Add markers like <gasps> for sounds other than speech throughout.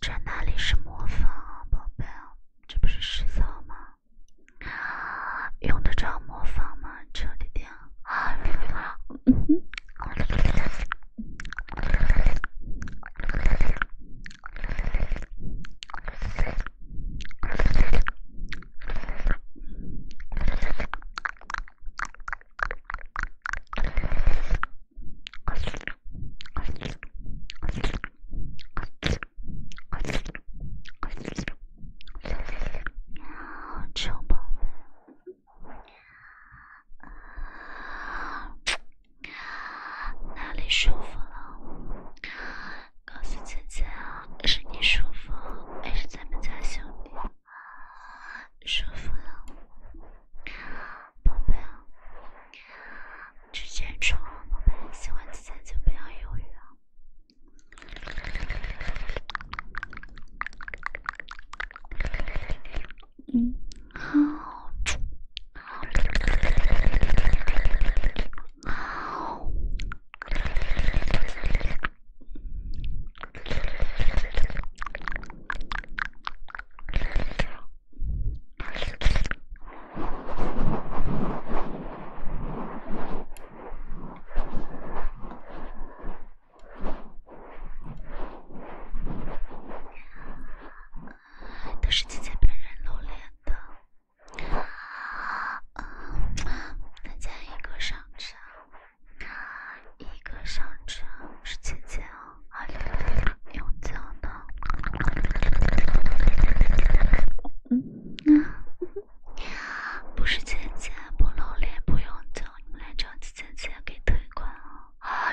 这哪里是模仿啊，宝贝这不是实操吗？用得着模仿吗？彻底掉。喵，主播，舒服了？告诉姐姐啊，是你舒服还是咱们家兄弟？舒服了，宝贝啊，直接冲！宝贝，喜欢就不要犹豫啊。嗯，好，好。都是姐姐本人露脸的，啊，都在一个商场。那一个商城是姐姐啊，六六六永久的。不是芊芊不露脸不用交，你们来找芊芊给退款啊。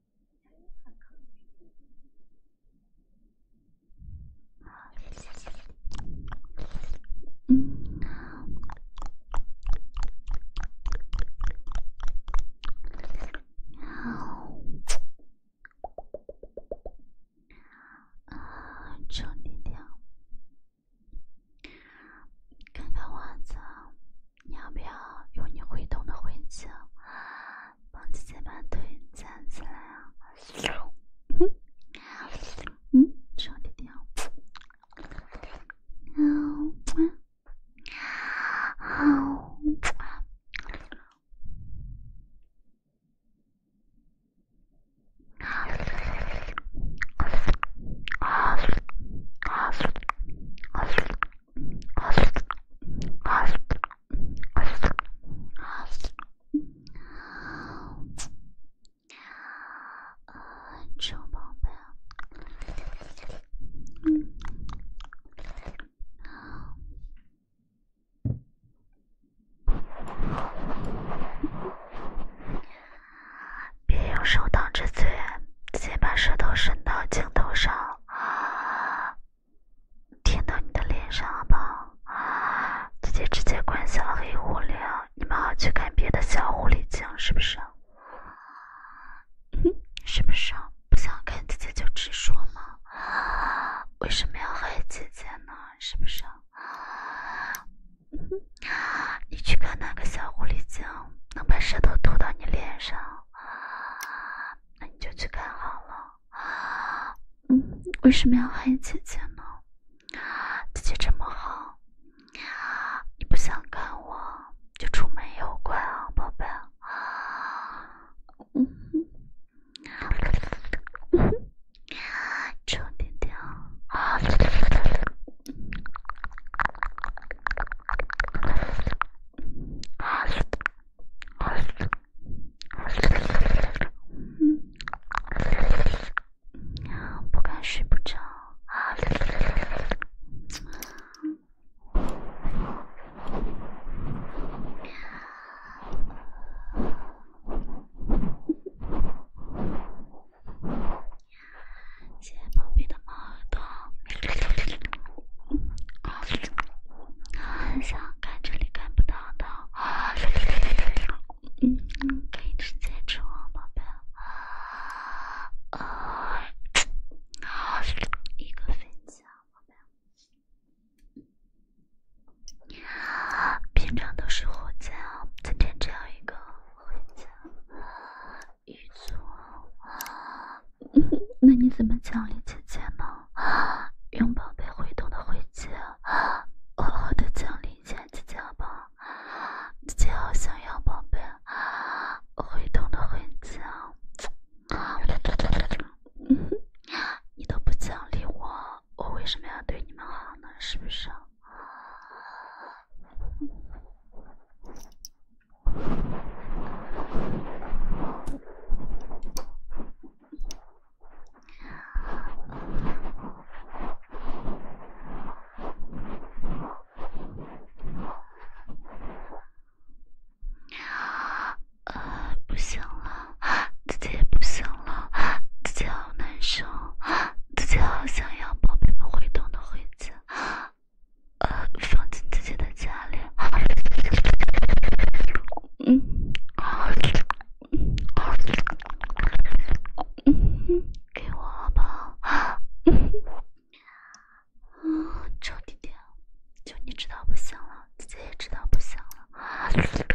嗯，啊，啊，处理掉，看看袜子。你要不要用你会动的会脚，帮姐姐把腿站起来啊？嗯，手提掉。好，好。臭宝贝，嗯，别用手挡着嘴。直接把舌头伸到镜头上，舔到你的脸上，好不好？姐姐直接关小黑屋里你们好去看别的小狐狸精，是不是？<laughs> 是不是？不想看姐姐就直说嘛。为什么要害姐姐呢？是不是？<laughs> 你去看那个小狐狸精能把舌头吐到你脸上？啊，那你就去看好了。嗯，为什么要害姐姐呢？姐姐这么好，你不想看我就出门也怪啊，宝贝。嗯，嗯，嗯，臭弟弟不敢睡不着。耳朵，嗯，很想看这里看不到的，嗯，可以直接出哦，宝贝，一个飞机，宝贝，平常都是火箭今天只样一个火箭。一祖，那你怎么奖励姐姐呢？用宝贝挥动的灰子，好好的奖励一下姐姐吧。姐姐好想要宝贝，挥动的灰子。<laughs> 你都不奖励我，我为什么要对你们好呢？是不是？不行了，自己不行了，自己好难受，自己好想要宝贝不会懂的，回家，呃，放进自己的家里。嗯，好，嗯，好，嗯给我好不好？啊，臭弟弟，就你知道不行了，姐姐也知道不行了。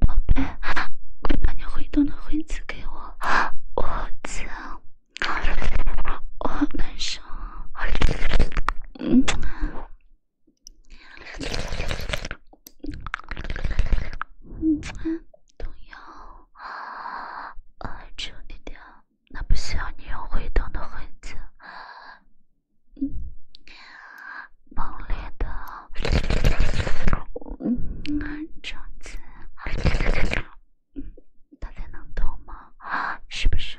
宝贝，快把你会动的挥子给我，我好激我好难受，嗯，嗯，都要，啊，只有你掉，那不需要你用挥动的挥子，嗯，猛烈的。嗯，种子，大家能懂吗？啊，是不是？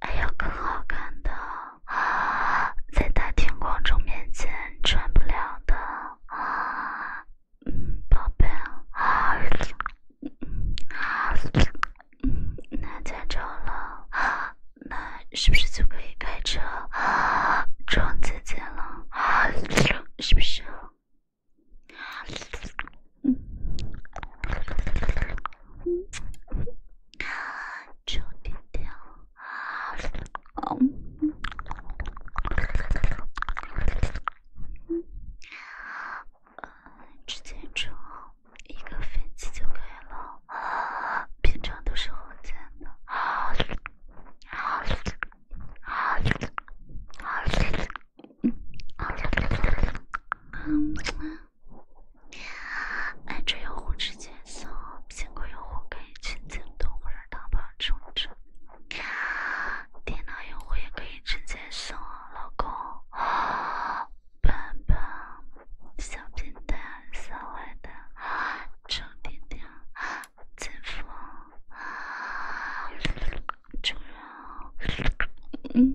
还有更好看的啊，在大庭广众面前穿不了的啊。嗯，宝贝，啊，嗯，那拍照了，那是不是就可以开车撞姐姐了？是不是？嗯，啊，九点零。嗯。嗯，直接充一个飞机就可以了。啊，平常都是后充的。好，好，好，好，好，嗯，好。嗯，安卓用户直接送，苹果用户可以先京东或者淘宝充值。电脑用户也可以直接送啊，老公、笨笨，小笨蛋、小坏蛋、臭皮蛋、姐夫、主人。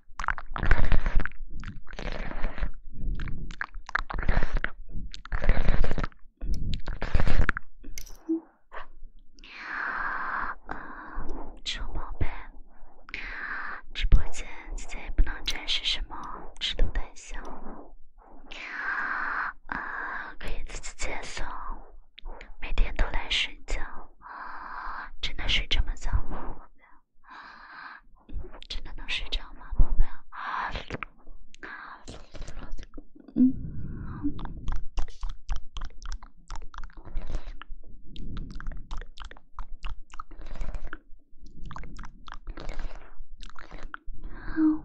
啊，臭宝贝，直播间现在也不能展示什么，吃的太小。啊，可以自己接送，每天都来睡觉真的睡这么早？吗？真的能睡着吗，宝贝？嗯，好。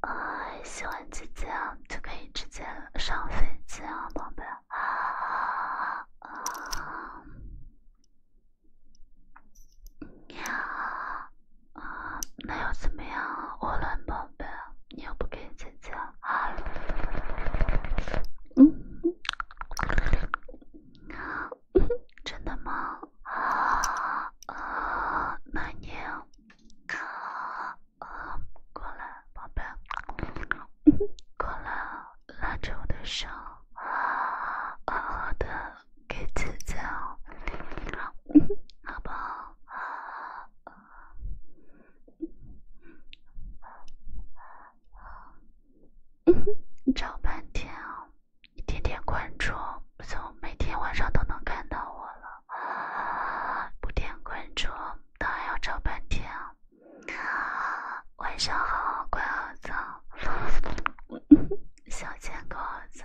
啊，喜欢直接就可以直接上飞机宝贝。那怎么样，欧伦宝贝？你要不给姐姐？嗯，真的吗？啊啊，你，啊啊，过来，宝贝，过来，拉着我的手，好好的，给姐姐，好不好？找半天啊！你点点关注，从每天晚上都能看到我了。不点关注当然要找半天啊！晚上好，乖儿子，小狗儿子。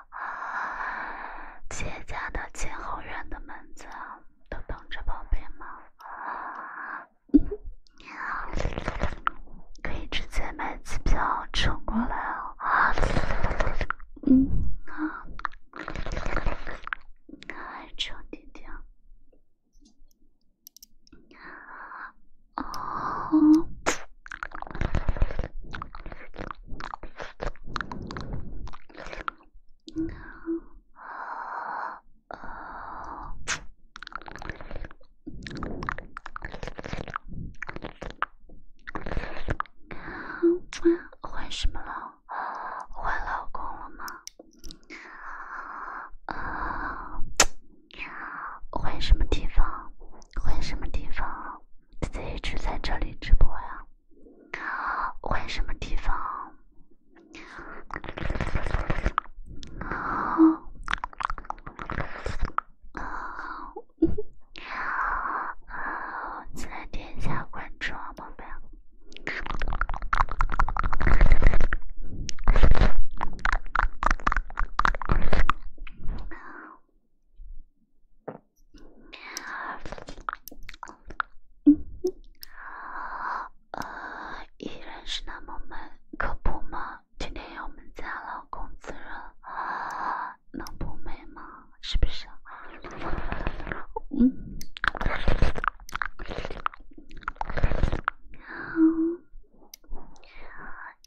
姐家的前后院的门子都等着宝贝吗？你好，可以直接买机票乘过来哦。嗯啊，再乘点点。啊。换什么了？换老公了吗？啊？换什么地方？换什么地方？自己只在这里直播呀？换什么地方？好，好，点一下关注，好不好？依然是那么美，可不吗？今天有我们家老公滋润，能不美吗？是不是啊？嗯，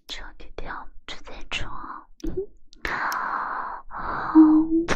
祝你甜，祝你宠，好吗？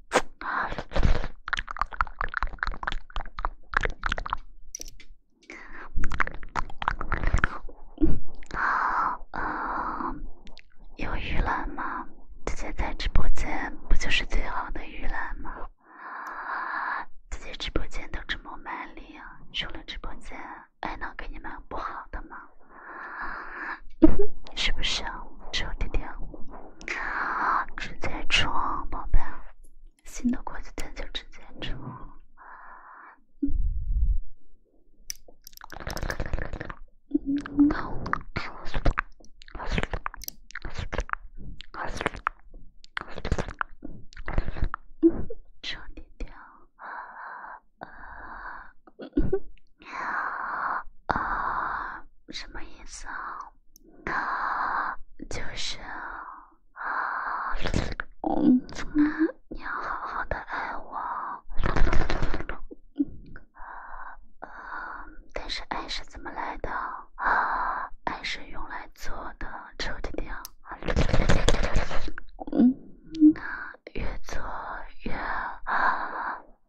啊，有预览吗？直接在直播间不就是最好的预览吗？啊，自己直播间都这么卖力，啊。出了直播间还能给你们不好的吗？<laughs> 是不是啊，是我弟弟啊？直接冲宝贝，新的国际电就直接充。嗯，嗯，那我，我舒服，我舒服，我舒嗯，啊啊啊！什么意思啊？那就是，嗯，你要好好的爱我。啊，但是爱是怎么来的？啊，爱是用来做的，抽着点，嗯，越做越……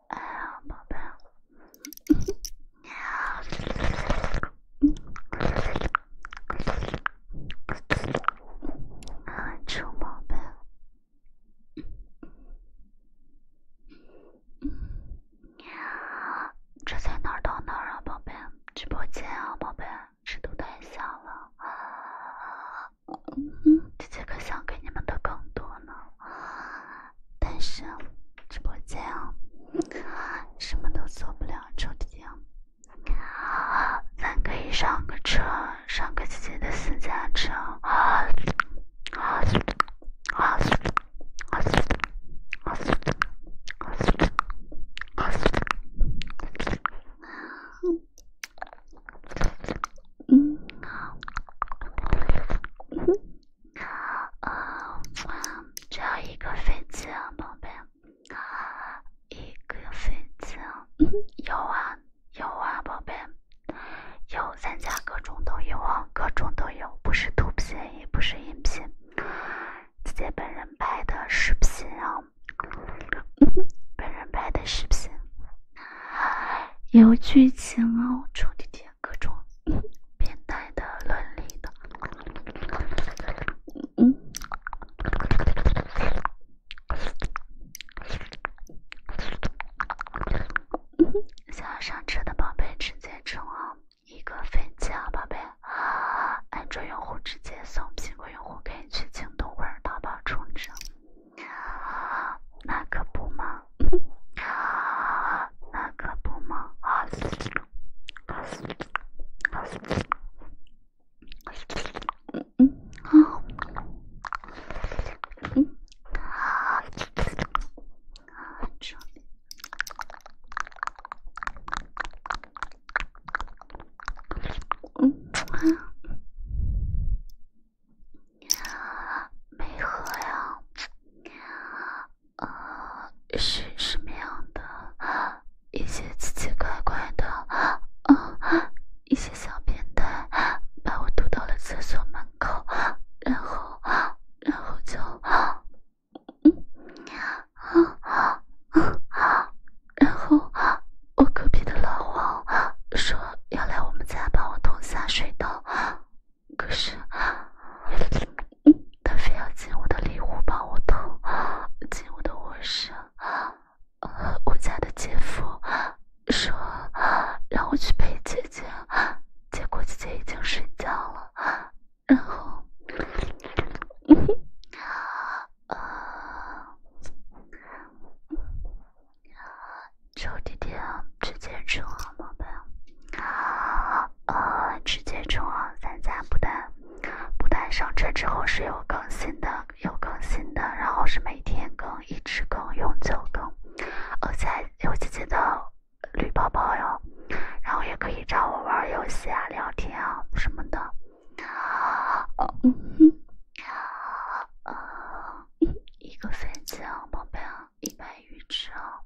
哎呀，宝贝，呀，臭宝贝，呀，这才哪儿到哪儿啊，宝贝？直播间啊，宝贝，声都太小了。嗯，姐姐可想给你们的更多呢。但是直播间啊，什么都做不了，抽屉啊，咱可以上个车，上个自己的私家车。啊，呃，只要一个飞机啊，宝贝。好，一个粉丝。有啊，有啊，宝贝。有，咱家各种都有啊，各种都有，不是图片，也不是音频，姐姐本人拍的视频啊，本人拍的视频，有剧情啊，我抽屉贴各种。变态的伦理的，想要上车的宝贝直接冲啊，一个飞机啊，宝贝啊，安卓用户直接送，苹果用户可以去京东或者淘宝充值，那可不嘛。那可不吗？没喝呀，啊，是什么样的？一些奇奇怪怪的，啊，一些小变态把我堵到了厕所门口，然后，然后就，嗯，啊啊啊，然后我隔壁的老王说要来我们家帮我通下水道。可是他非要进我的里屋帮我偷，进我的卧室。我家的姐夫说让我去陪姐姐，结果姐姐已经睡觉了。然后，啊，臭弟弟去兼职了，怎么啊。呃，直接冲啊！咱家不但不但上车之后是有更新的，有更新的，然后是每天更，一直更，永久更。而且有姐姐的绿包包哟，然后也可以找我玩游戏啊、聊天啊什么的。<laughs> 一个飞机啊，宝贝啊。一百余啊，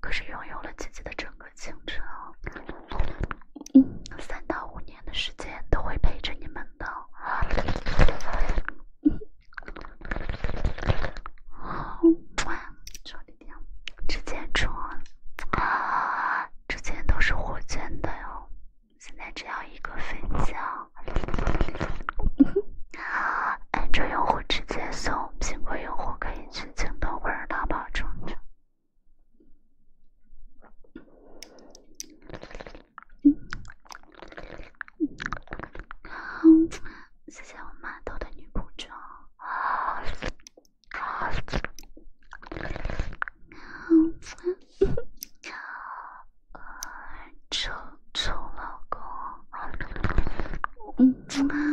可是拥有了自己的整个青春，嗯，三到五年的时间都会陪着你们的。之前之前都是火箭的哟，现在只要一个飞机啊。安卓用户直接搜，苹果用户可以去京东或者淘宝充值。谢谢我的女仆装。<laughs>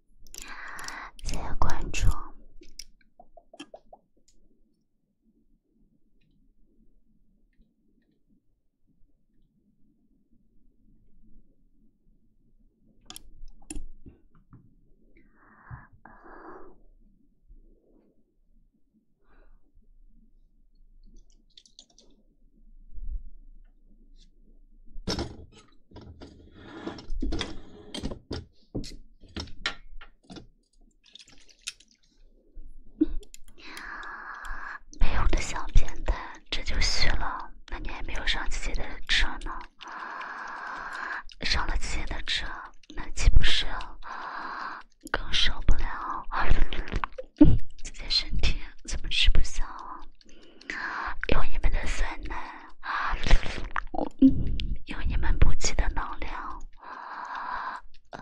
谢谢关注。没有的小变态，这就虚了。那你还没有上姐姐的车呢，上了姐姐的车，那岂不是更受不了？姐姐身体怎么吃不消？用你们的酸奶。啊，我嗯，有你们补给的能量。嗯。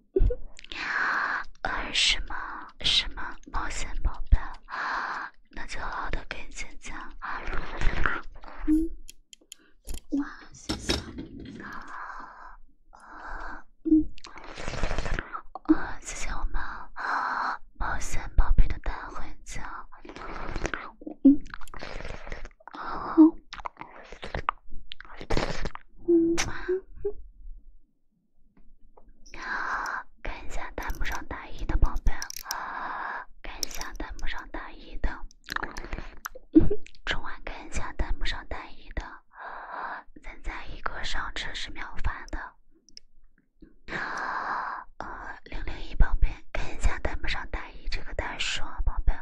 啊，是吗？是吗？冒险宝贝那就好的更姐姐。嗯，哇，谢谢啊啊，谢谢我们冒险宝贝的大回球。嗯。哦，啊！看一下弹幕上打一的宝贝啊！看一下弹幕上打一的，冲完看一下弹幕上打一的，咱在一个上车是秒发的零零一宝贝，看一下弹幕上打一这个大叔宝贝。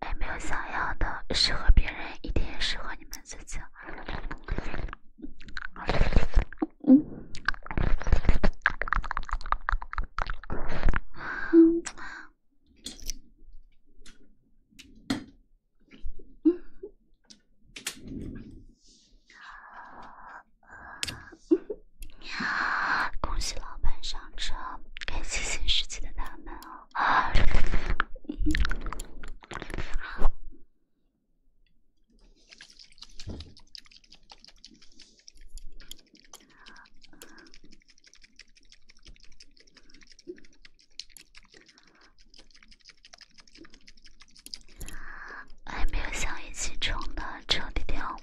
还没有想要的，适合别人一定适合你们自己。喵！恭喜老板上车，开启新世纪的大门哦！还没有想一起冲的，彻底掉。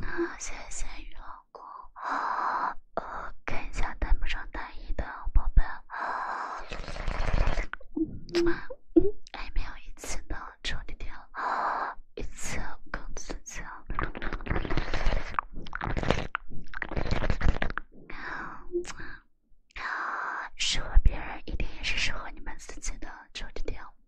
啊，谢谢雨老公啊！看一下弹不上大一的宝贝啊，没有一次的臭弟弟，一次更刺激啊！适合别人一定也是适合你们自己的，臭弟弟。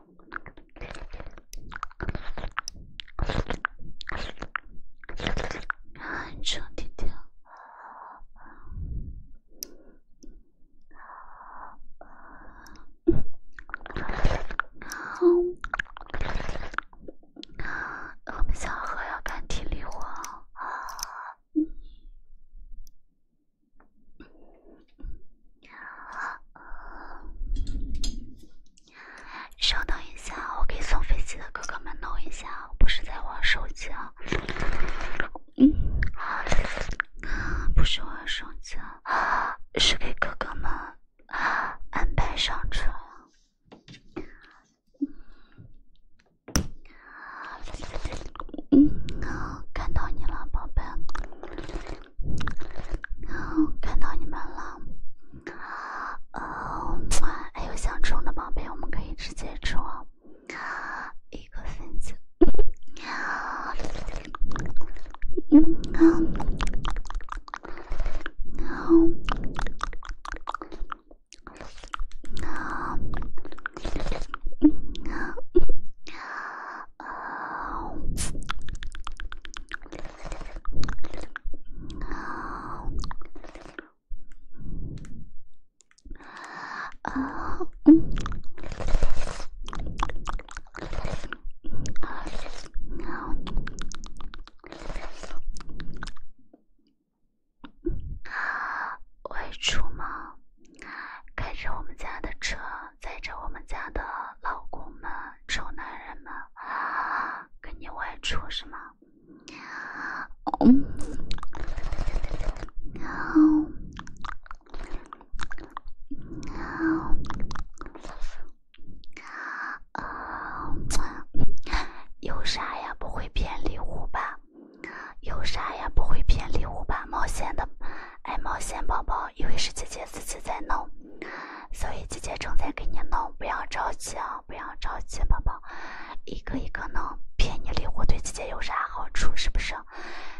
我们小何要干体力活。稍等一下，我给送飞机的哥哥们弄一下，我不是在玩手机啊。不是玩手机啊，是给哥哥们安排上车。嗯，看到你了，宝贝。然后看到你们了，啊哦！还有想充的宝贝，我们可以直接充一个粉丝。啊啊啊！外出吗？开着我们家的车。载着我们家的老公们、丑男人们啊，跟你外出是吗？嗯，好，好，啊，有啥呀？不会骗礼物吧？有啥呀？不会骗礼物吧？冒险的，爱冒险宝宝。因为是姐姐自己在弄，所以姐姐正在给你弄，不要着急啊，不要着急，宝宝，一个一个弄。骗你礼物对姐姐有啥好处？是不是？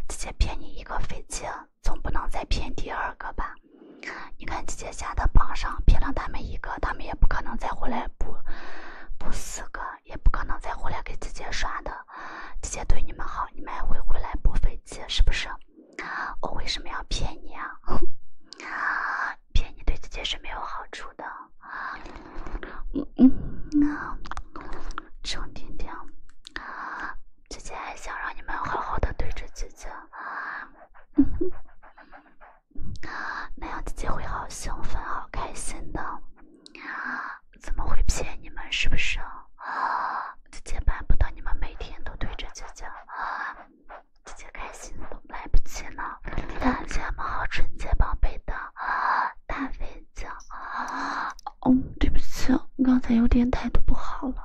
姐姐骗你一个飞机，总不能再骗第二个吧？你看姐姐现的榜上骗了他们一个，他们也不可能再回来补补四个，也不可能再回来给姐姐刷的。姐姐对你们好，你们还会回来补飞机，是不是？我为什么要骗你啊？<laughs> 骗你对自己是没有好处的。嗯嗯，张婷婷，姐姐还想让你们好好的对着姐姐那样姐姐会好兴奋、好开心的。怎么会骗你们？是不是？姐姐办不到，你们每天都对着姐姐啊，姐 <gasps> 姐开心都来不及呢。大家们好纯洁，宝贝的，大飞姐。嗯，对不起，刚才有点态度不好了，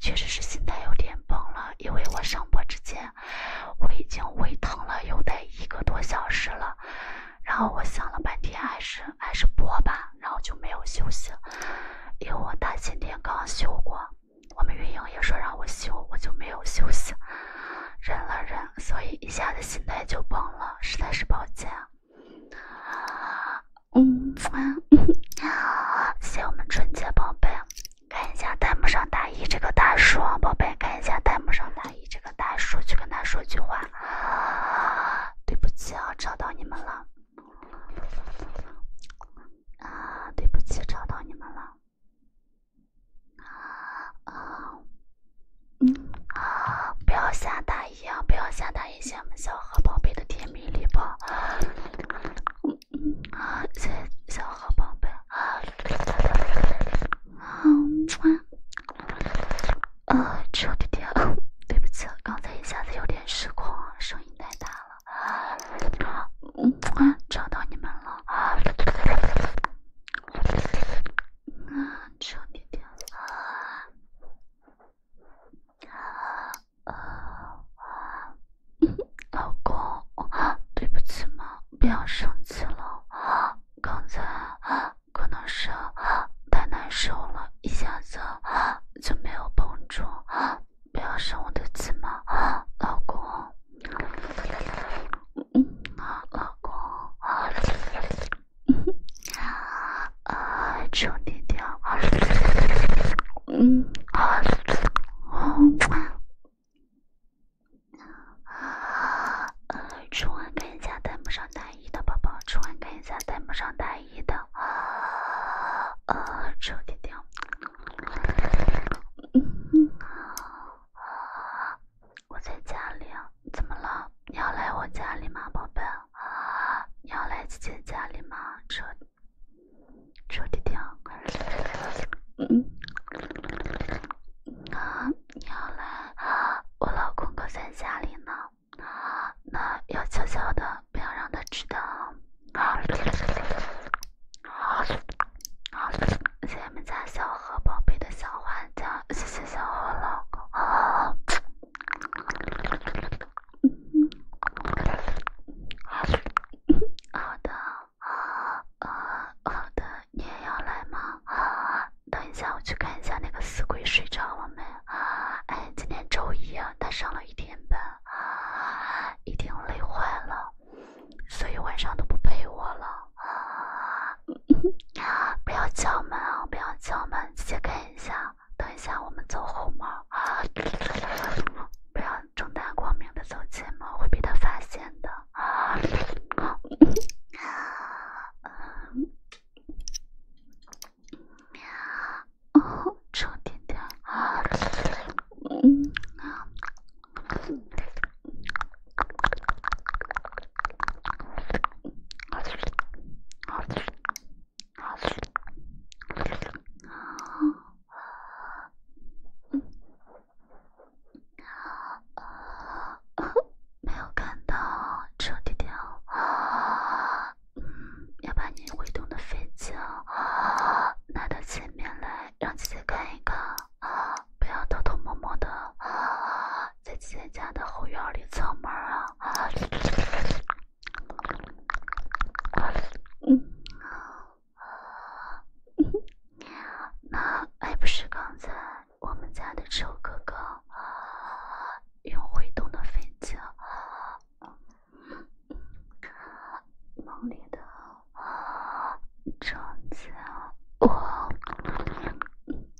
确实是心态有点崩了，因为我上播之前，我已经胃疼了有得一个多小时了，然后我想了半天还是。还是播吧，然后就没有休息因为我大前天刚休过，我们运营也说让我休，我就没有休息，忍了忍，所以一下子心态就崩了，实在是抱歉。嗯，好，<laughs> 谢我们春节宝贝，看一下弹幕上大一这个大叔，宝贝，看一下弹幕上大一这个大叔，去跟他说句话，对不起啊，吵到你们了。啊，对不起，吵到你们了。啊啊，嗯啊，不要不要我们小宝贝的甜蜜礼小宝贝，啊，啊，弟弟，对不起，刚才一下子有点失控，声音。太大了，找到你们了啊，啊，轻一点了老公，对不起嘛，不要生气了刚才可能是太难受了，一下子就没有帮助不要生我的气嘛，老公。嗯，啊，老公。啊，求你了。嗯，啊，啊，呃，昨晚看一下弹幕上大一的宝宝，昨晚看一下弹幕上大一。的啊啊臭弟弟，嗯，我在家里，怎么了？你要来我家里吗，宝贝？啊，你要来姐姐家里吗？臭臭弟弟，嗯，啊，你要来我老公哥家里呢。啊，那要悄悄的，不要让他知道。好，好，谢谢我们家小何宝贝的小管家，谢谢小何老公。好的，啊啊好的，你也要来吗？等一下我去看一下那个死鬼睡着了没？啊，哎，今天周一啊，他上了一天班。啊，一定累坏了，所以晚上都不陪我了。<laughs> 不要敲门啊！不要敲门，先看一下。等一下，我们走后门啊！不要正大光明的走前门，会被他发现的啊！<laughs> 喵，哦，臭弟弟，嗯，喵，啊，啊，没有看到，臭弟弟，啊。嗯，要把你会动的飞机拿到前面来，让姐姐看一看啊！不要偷偷摸摸的在姐姐家的后院里藏门啊！嗯，那还不是刚才我们家的臭哥哥用会动的飞机。梦里的啊，撞墙！我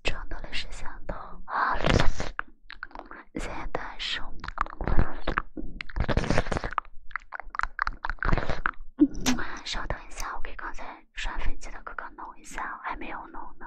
撞到了是墙头。谢大手。稍等一下，我给刚才刷飞机的哥哥弄一下，还没有弄呢。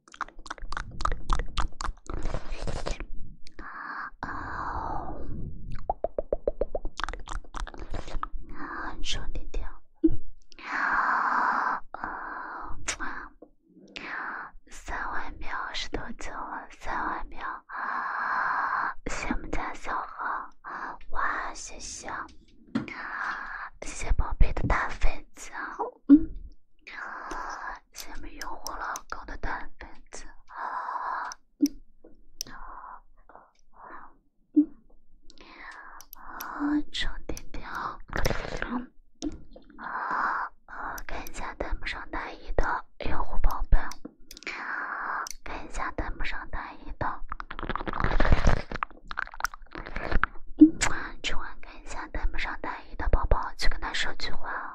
啊哦，啊，说点点。啊三万秒，是多久钟，三万秒。谢我们家小号，哇，谢谢谢，谢宝贝的大粉子。嗯，下面用户老高的蛋贩子，嗯，嗯，充电啊，啊，看一下弹幕上大一的用户宝贝，看一下弹幕上大一的，嗯，去问看一下弹幕上大一的宝宝，去跟他说句话。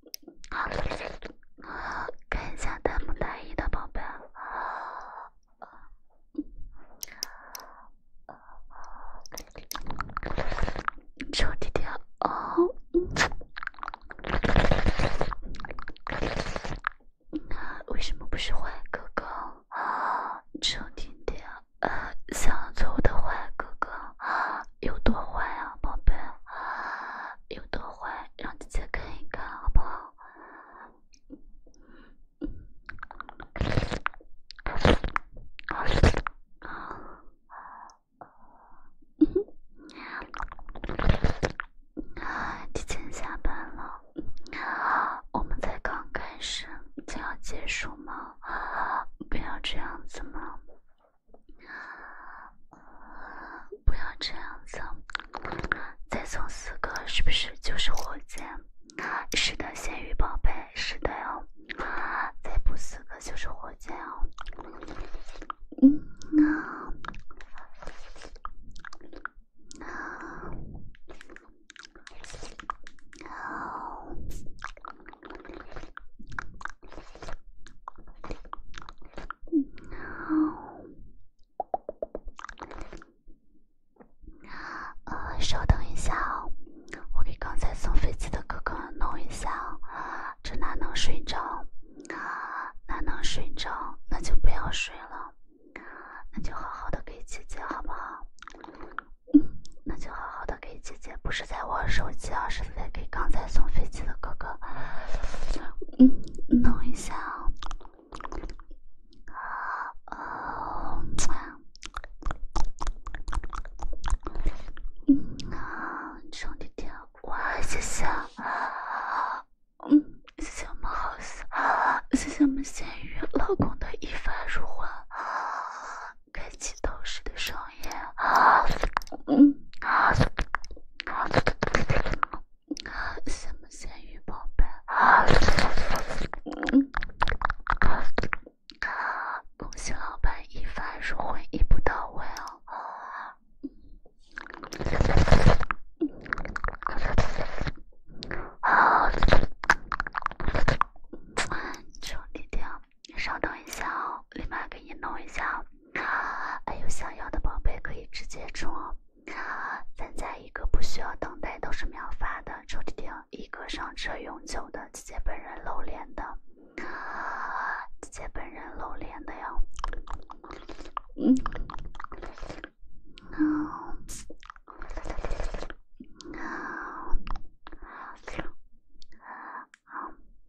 <laughs> 看一下戴墨一的宝贝。你弟弟啊！为什么不是坏哥哥啊？弟弟啊！想要做我的坏哥哥啊？有多坏啊，宝贝！有多坏，让姐姐看一看，好不好？提前下班了，我们才刚开始就要结束吗？不要这样子吗？不要这样子，再送四个是不是就是火箭？是的，咸鱼宝贝，是的哦，再补四个就是火箭哦。嗯，那，啊。呃，稍等一下哦，我给刚才送飞机的哥哥弄一下哦。这哪能睡着？啊，哪能睡着？那就不要睡了，那就好好的给姐姐好不好？嗯，那就好好的。给姐姐不是在玩手机，而是在给刚才送飞机的哥哥，嗯，弄一下。啊。兄弟谢谢，谢谢我们好谢谢我们咸鱼老公的一番如花，开启道士的上。好，嗯，啊，好，什么生意，老板？好，嗯，好，恭喜老板一帆风顺，一步到位哦。啊，处理掉。稍等一下哦，立马给你弄一下。还有想要的宝贝可以直接冲哦。咱加一个不需要等待，都是秒发的，抽屉贴一个上车永久的，姐姐本人露脸的，姐姐本人露脸的哟。嗯，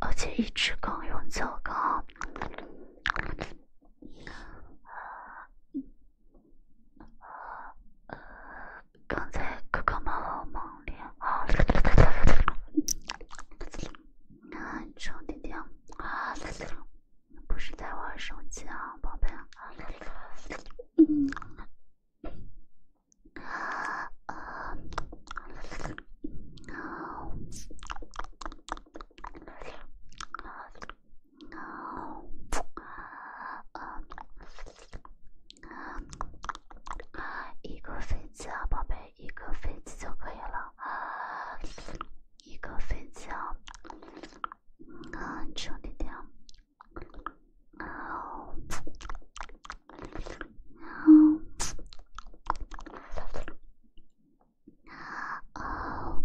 而且一直刚用糟糕。刚才哥哥忙好忙了，啊！那张弟不是在玩手机啊，宝贝。啊，嗯，啊，啊，一个飞机啊，宝贝，一个飞机就可以了啊，一个飞机啊，兄弟啊。哦，哦，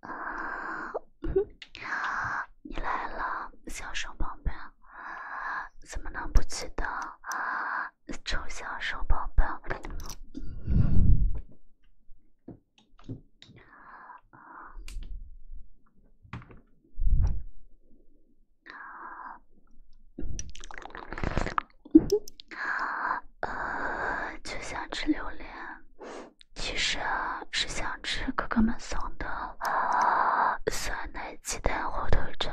啊，你来了，小手宝贝，怎么能不记得啊，臭小手宝贝。<laughs> 呃，就想吃榴莲，其实是想吃哥哥们送的酸奶、鸡蛋、火腿肠。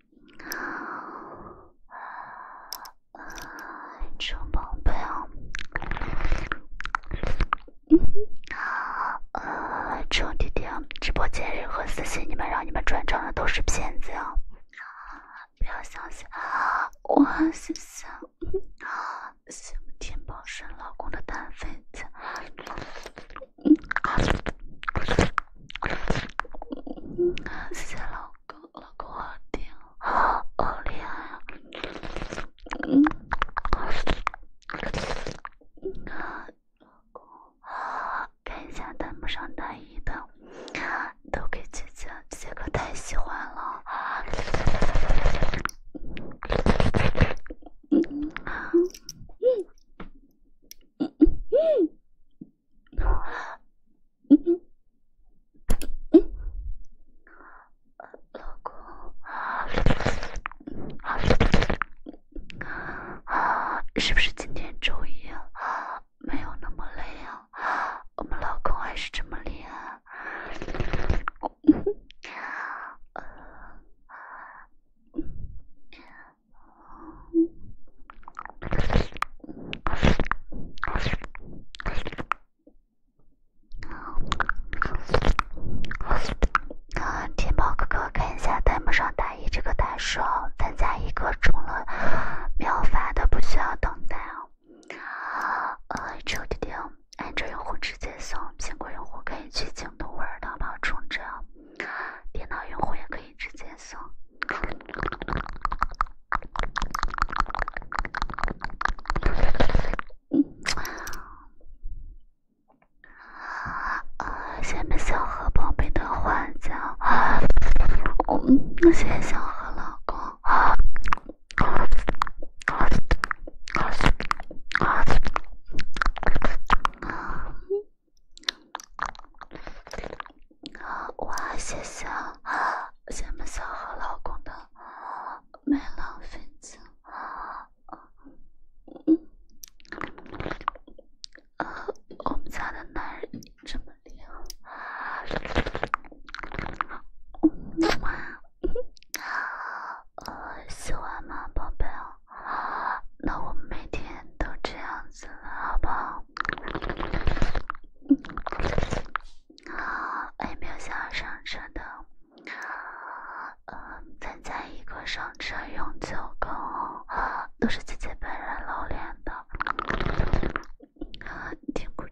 臭宝贝，嗯，啊，臭弟弟，直播间任何私信你们让你们转账的都是骗子哦，不要相信，我是想，想天宝是老公的单飞。子。谢谢老公，老公好听，好厉害啊！老公啊，看一下弹幕上一的，都给姐姐，太喜欢了。嗯，嗯嗯嗯。老公，是不是今天周一没有那么累啊？我们老公还是这么厉害。天猫哥哥，看一下，弹幕上打一这个单数哦，参加一个充了秒发的，不需要等待哦。呃，安卓弟弟，安卓用户直接送，苹果用户可以去京东或者淘宝充值哦。电脑用户也可以直接送。谢谢小何宝贝的花奖，嗯，谢谢小何老公。哇，谢谢啊！咱们小何老公的没浪费精，啊，我们家的男人这么厉害，喜欢吗，宝贝啊？那我每天都这样子好不好？好，还没有想要上车的，啊，参加一个上车永久公会，都是姐姐本人露脸的，听不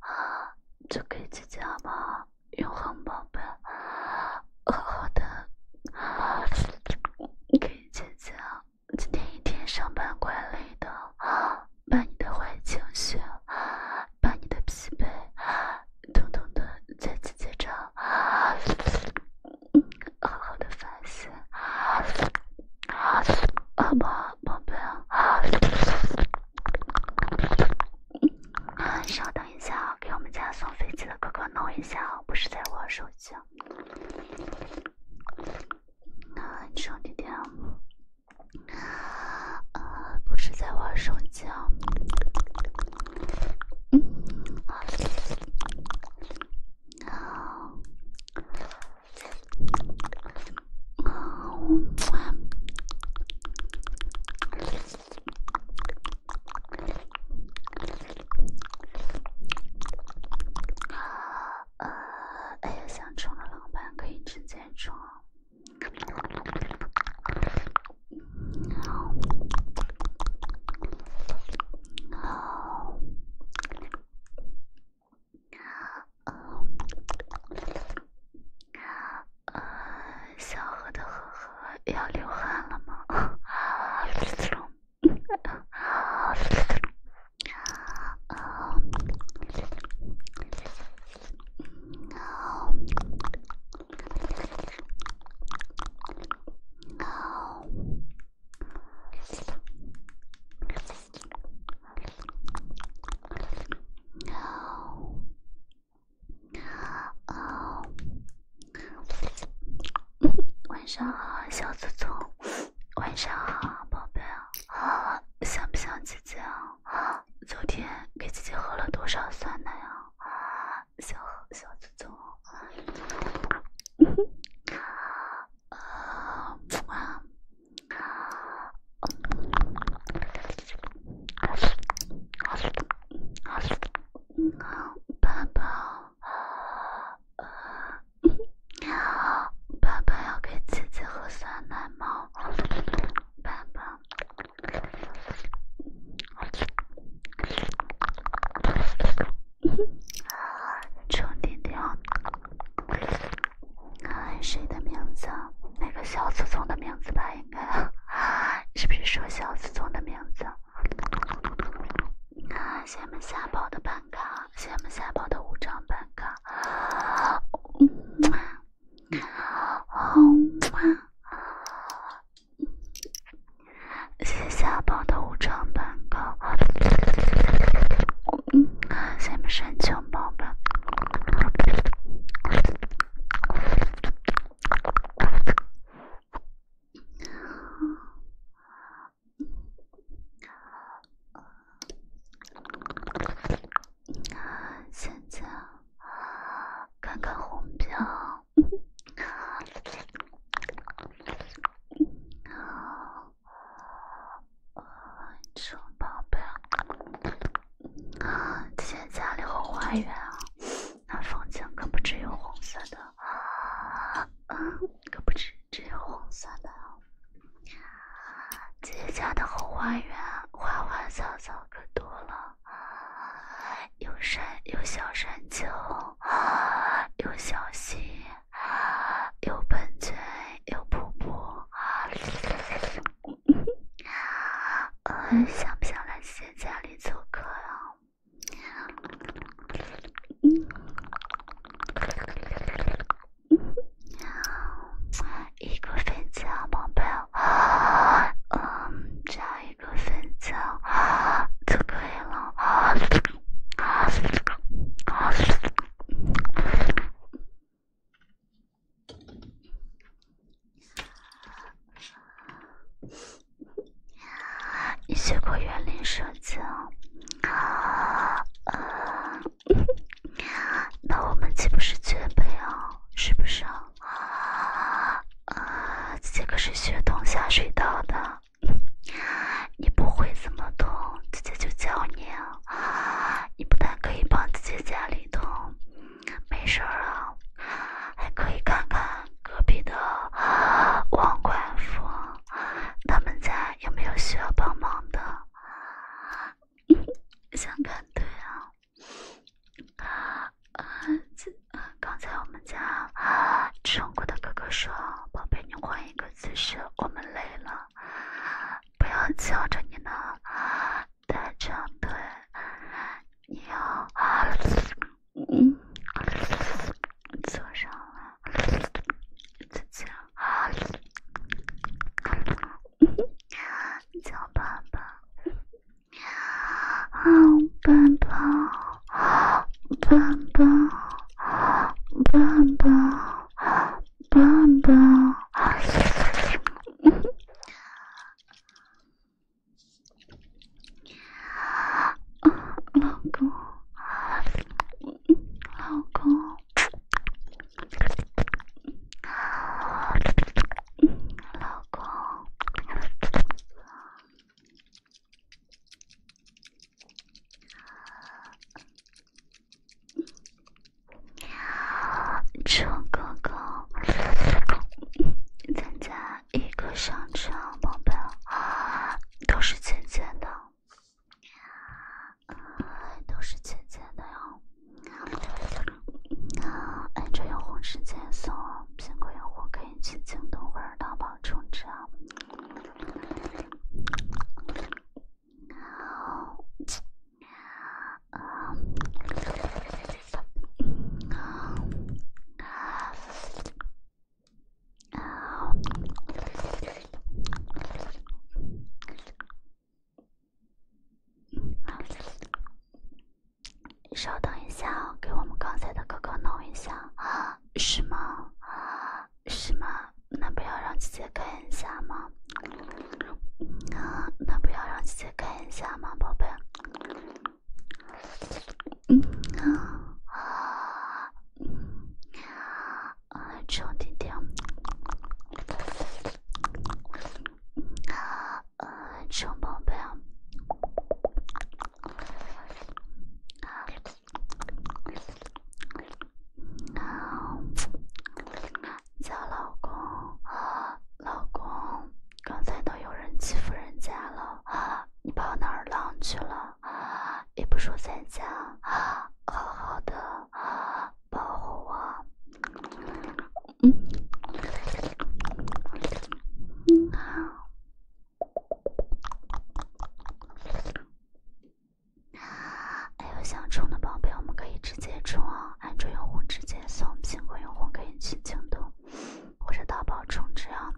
啊，就可以姐姐吗？永恒宝贝，好的，给可以姐姐。今天一天上班怪累的，<gasps> 把你的坏情绪，<gasps> 把你的疲惫，<gasps> 统统的，在自己这好好的反思，<sighs> 好不好，宝贝？<sighs> 稍等一下，啊，给我们家送飞机的哥哥弄一下，啊，不是在玩手机。那，啊，兄弟，天，啊，不是在玩手机啊，嗯，啊，啊。呃，哎呀，想充的老板可以直接充。小的要流汗了吗？<laughs> 哦哦哦哦哦哦！晚上好，小祖聪。晚上好，宝贝啊！想不想姐姐啊？昨天给姐姐喝了多少酸奶呀？小小祖宗，嗯哼，啊，宝宝。你好，爸爸要给姐姐喝酸奶吗？爸爸，臭弟弟啊！谁的名字？那个小祖宗的名字吧，应该？是不是说小祖宗的名字？谢谢我们下宝的办卡，我们下宝的五张办卡。嗯好谢谢阿宝的五张蛋糕。嗯，下面申请包吧。现在，看看红标。啊，臭宝贝！啊，现在家里红花园啊，那风景可不只有红色的，可不只只有红色的。姐姐家的后花园，花花草草可多了，有山，有小山丘，有小溪，有喷泉，有瀑布。想不想来姐姐家里做客呀？一个粉枣，宝贝，嗯，这样一个粉枣，足够了。你学过园林设计啊？<laughs> 那我们岂不是绝配啊？是不是？啊啊！这个是学种下水道的，你不会怎么种，姐姐就教你啊。你不但可以帮姐姐家里种，没事儿啊，还可以看看隔壁的王寡妇，他们家有没有需要帮忙的。想看腿啊！啊，刚才我们家中国的哥哥说：“宝贝，你换一个姿势，我们累了，不要叫着你呢。”带长腿，你要嗯，坐上了，再见。好，<laughs> 叫爸爸，好爸爸，爸爸，爸爸，爸爸，<laughs> 老公，<laughs> 老公。老公，成哥哥，增加一个商城模板都是钱钱的。都是姐姐的哟。啊，安卓用户直接送苹果用户可以去京东或者淘宝充值啊。稍等一下，给我们刚才的哥哥弄一下 <gasps> 是吗？<gasps> 是吗？那不要让姐姐看一下吗？啊，<noise> 那不要让姐姐看一下吗，宝贝？嗯啊啊！啊，兄弟弟，啊，呃，臭宝贝，啊，叫老公啊，老公，刚才都有人欺负人家了啊，你跑哪儿浪去了啊？也不说在家啊，好好的啊。保护我，嗯，好。还有想充的宝贝，我们可以直接充啊。安卓用户直接送，苹果用户可以去京东或者淘宝充值啊。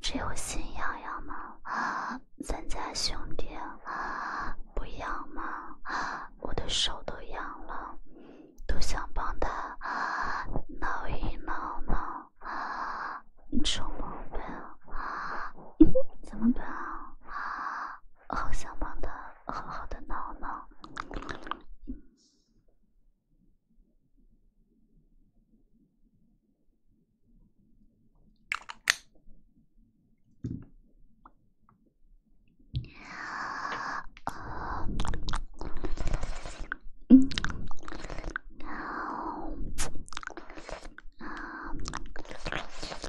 只有心痒痒吗？咱家兄弟不痒吗？我的手都痒了，都想帮他挠一挠挠。臭毛病，怎么办？好想帮他好好的挠挠。嗯。啊。啊。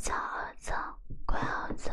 走走，快走！快走！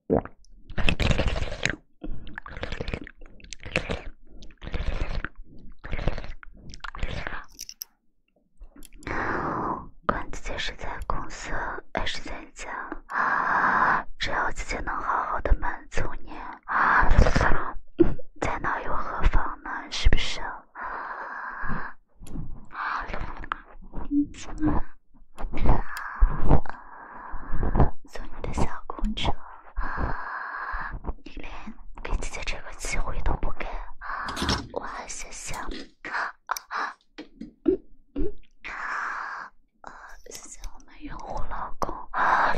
管姐姐是在公司还是在家？只要自己能好好的满足你，在哪又何妨呢？是不是？做你的小公主，你连给自己这个机会都不给。哇，谢谢，谢谢我们用户老公，老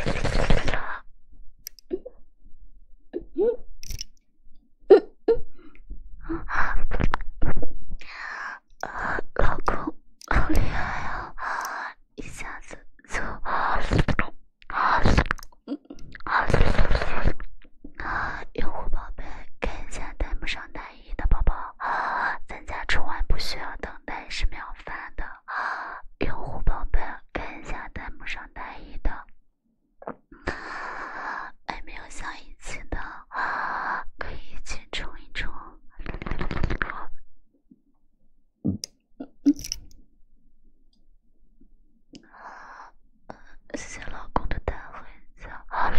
公好厉害啊！一下子，就用户宝贝，看一下弹幕上单一的宝宝，咱家春晚不需要等待十秒发的。用户宝贝，看一下弹幕上单一的，还没有想一起的，可以一起冲一冲。谢谢老公的大红枣，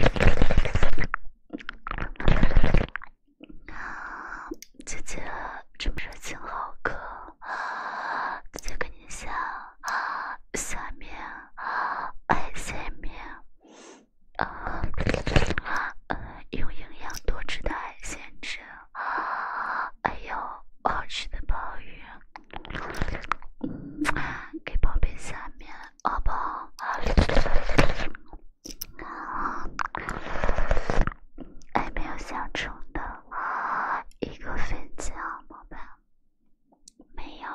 姐姐这么热情好客，姐，给你下海鲜，海鲜，用营养多汁的海鲜吃。啊，哎呦，好吃的鲍鱼，给宝贝下面，好不好？啊，还没有想出的，一个飞机啊，宝贝，没有，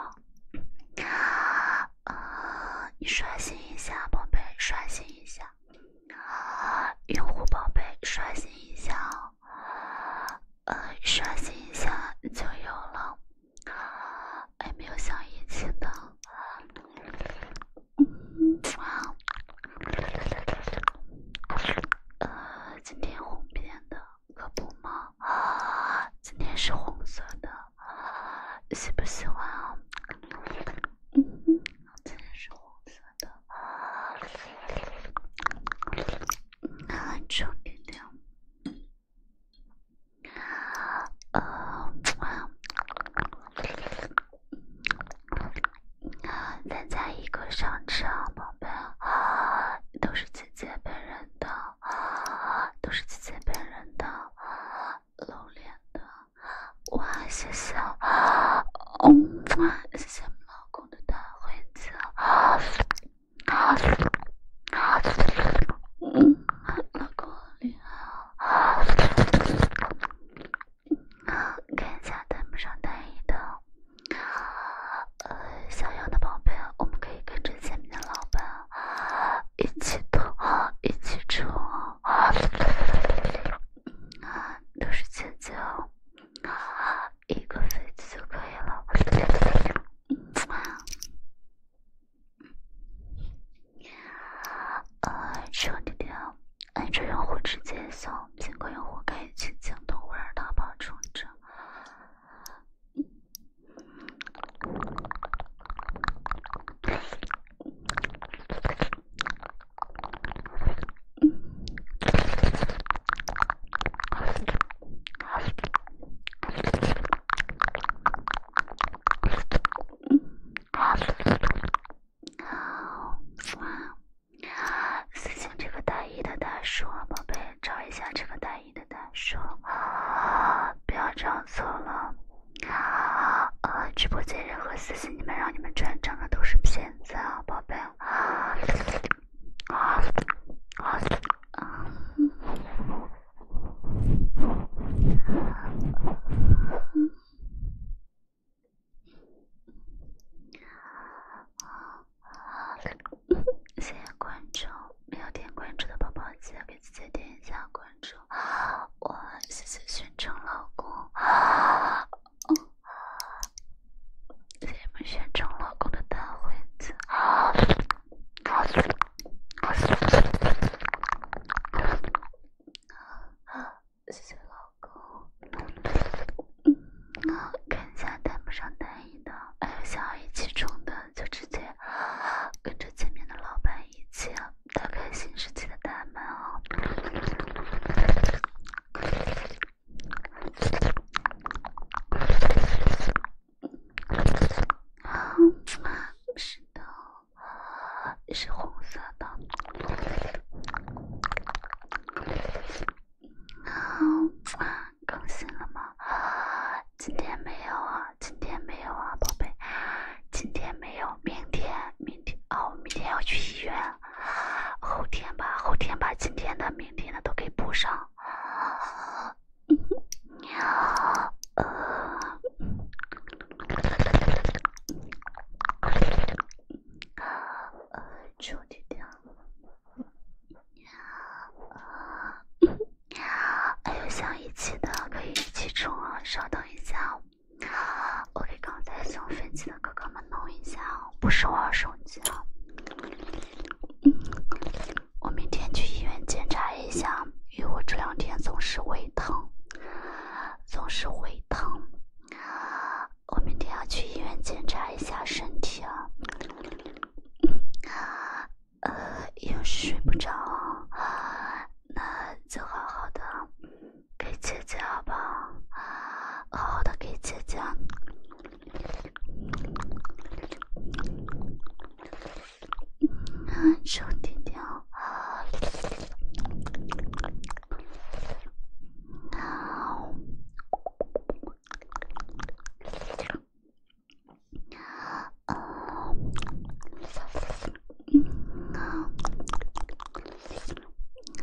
啊，你刷新一下，宝贝，刷新一下。用户宝贝，刷新一下，呃，刷新一下就有了。哎，没有想一起的？嗯，啊，呃，今天红片的，可不吗？啊，今天是红色的，喜不喜欢？嗯哼，今天是红色的，啊，超级亮，啊，呃，啊，一个商场，宝贝，都是姐姐本人的，都是姐姐本人的，露脸的。哇，谢谢！嗯，谢谢老公的大回啊，嗯，老公你好！看一下弹幕上单一的呃想要的宝贝，我们可以跟着前面的老板一起动，一起冲！都是姐姐，哦，一个飞机就可以了。呃，用户用户可以淘宝充值。嗯，哇！私信这个大一的大叔啊，宝贝，找一下这个大一的大叔啊！不要找错了，啊！直播间任何私信你们让你们转账的都是骗。谢谢宝贝，谢谢观众，没有点关注的宝宝记得给姐姐点一下关注。我谢谢寻常老公。哦，你们先冲老我的大门子。啊，是老公。嗯，看一下大门上哪里呢？还有想要一起冲的，就直接跟着前面的老板一起打开新世纪的大门哦。好，的。头是红色的。好，更新了吗？啊，今天没有啊，今天没有啊，宝贝，今天没有，明天明。哦，明天要去医院，后天吧，后天把今天的、明天的都给补上。有想一起的可以一起冲啊！稍等一下我给刚才送飞机的哥哥们弄一下，不是我手机啊。我明天去医院检查一下，因为我这两天总是胃疼，总是胃疼。我明天要去医院检查一下身体啊。呃，又是睡不着，那就好好的。给姐姐好不好好的，给姐姐。啊，臭弟弟啊！啊，嗯，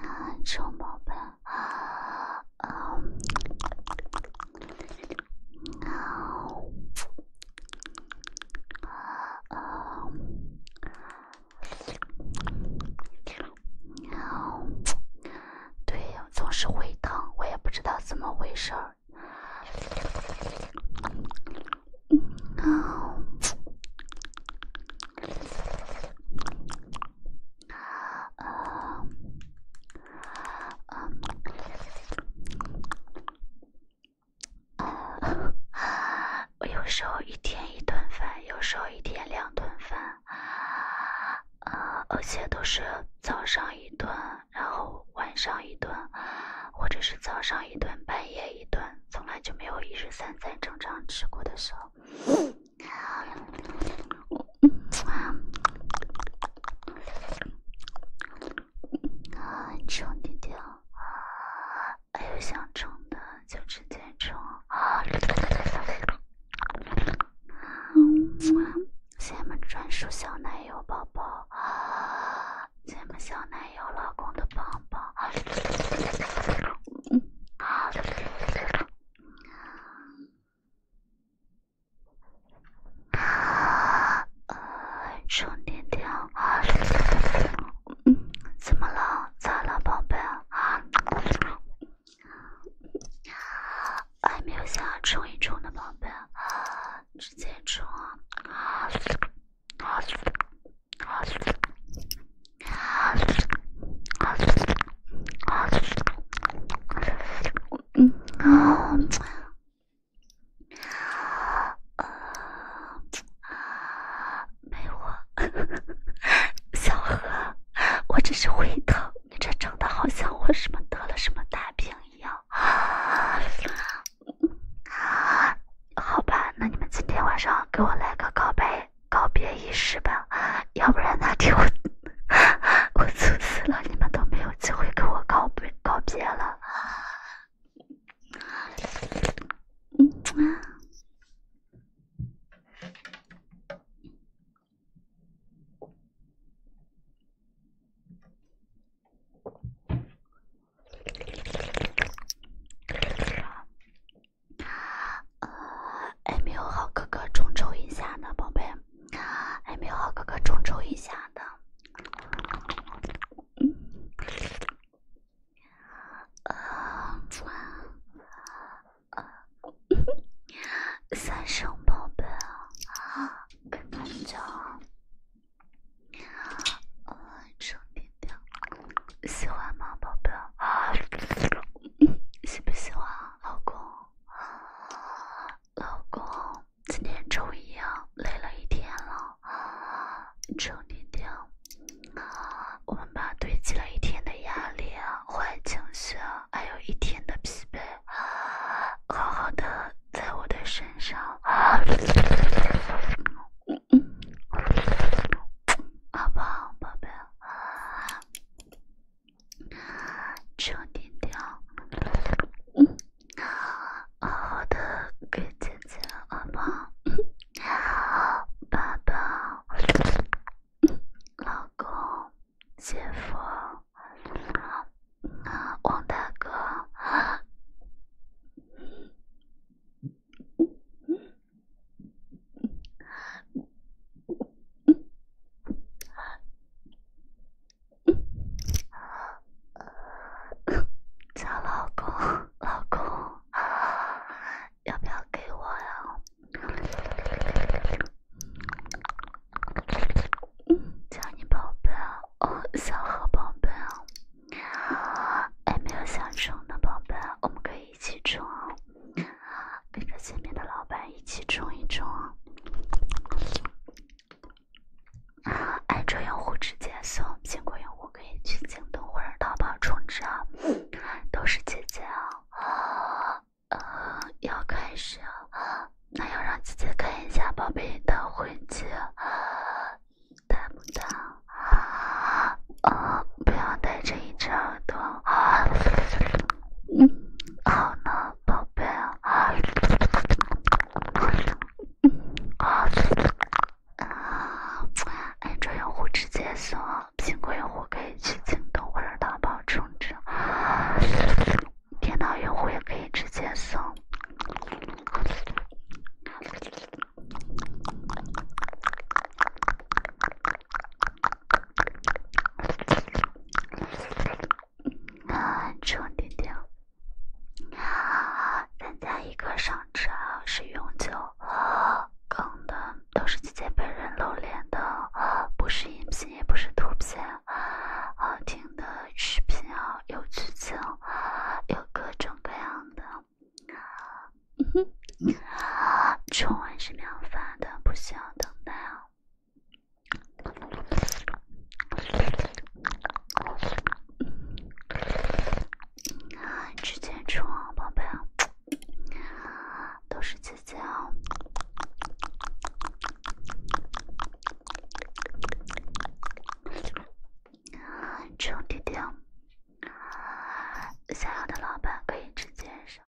啊，臭宝贝。啊，啊。啊。啊，对，总是胃疼，我也不知道怎么回事儿。啊，<laughs> 我有时候一天一顿饭，有时候一天两顿饭，呃，而且都是早上一顿，然后晚上一顿，或者是早上一顿，半夜一顿，从来就没有一日三餐正常吃过的时候。充点点啊，还有想充的就直接充啊！哇，咱们专属小奶油宝宝啊，咱们小奶油老公的棒棒啊！啊！充电条，怎么了？咋了，宝贝？啊，还没有下充一充的宝贝，啊，直接充啊！啊啊啊啊！啊。啊啊啊！没我，小何，我只是胃疼，你这整的好像我什么得了什么大病一样啊啊！好吧，那你们今天晚上给我来个告白。告别仪式吧，要不然哪天 <laughs> 我我猝死了，你们都没有机会跟我告别告别了。嗯。还没有好哥哥众筹一下的宝贝还没有好哥哥众筹一下的三生宝贝 <laughs> 喜不喜欢老公？老公，今天终于啊，累了一天了。你听一我们把堆积了一天的压力啊、坏情绪啊，还有一天的疲惫，好好的在我的身上。啊，宝贝，宝贝。充电条，好的，给姐姐、阿妈、爸爸、老公、姐夫、王大哥。叫老公，老公，要不要给我呀？叫你宝贝，哦，小好宝贝，哎，没有想成的宝贝，我们可以。一起啊，跟着前面的老板一起冲一冲。安卓用户直接送，苹果用户可以去京东或者淘宝充值啊。都是姐姐啊，要开始啊，那要让姐姐看一下宝贝的婚机，大不大？啊啊！不要带着一只耳朵啊！嗯，好呢，宝贝。嗯啊，安卓用户直接送，苹果用户可以去京东或者淘宝充值，电脑用户也可以直接送。嗯，<laughs> 处理掉。啊，家一个上车是永久。啊，的都是直接被人露脸的。不是音频，也不是图片。好听的视频啊，有剧情，有各种各样的。嗯哼。啊，重温是秒发的，不需要等待啊。直接充，宝贝，都是姐姐哦。想要的老板可以直接上。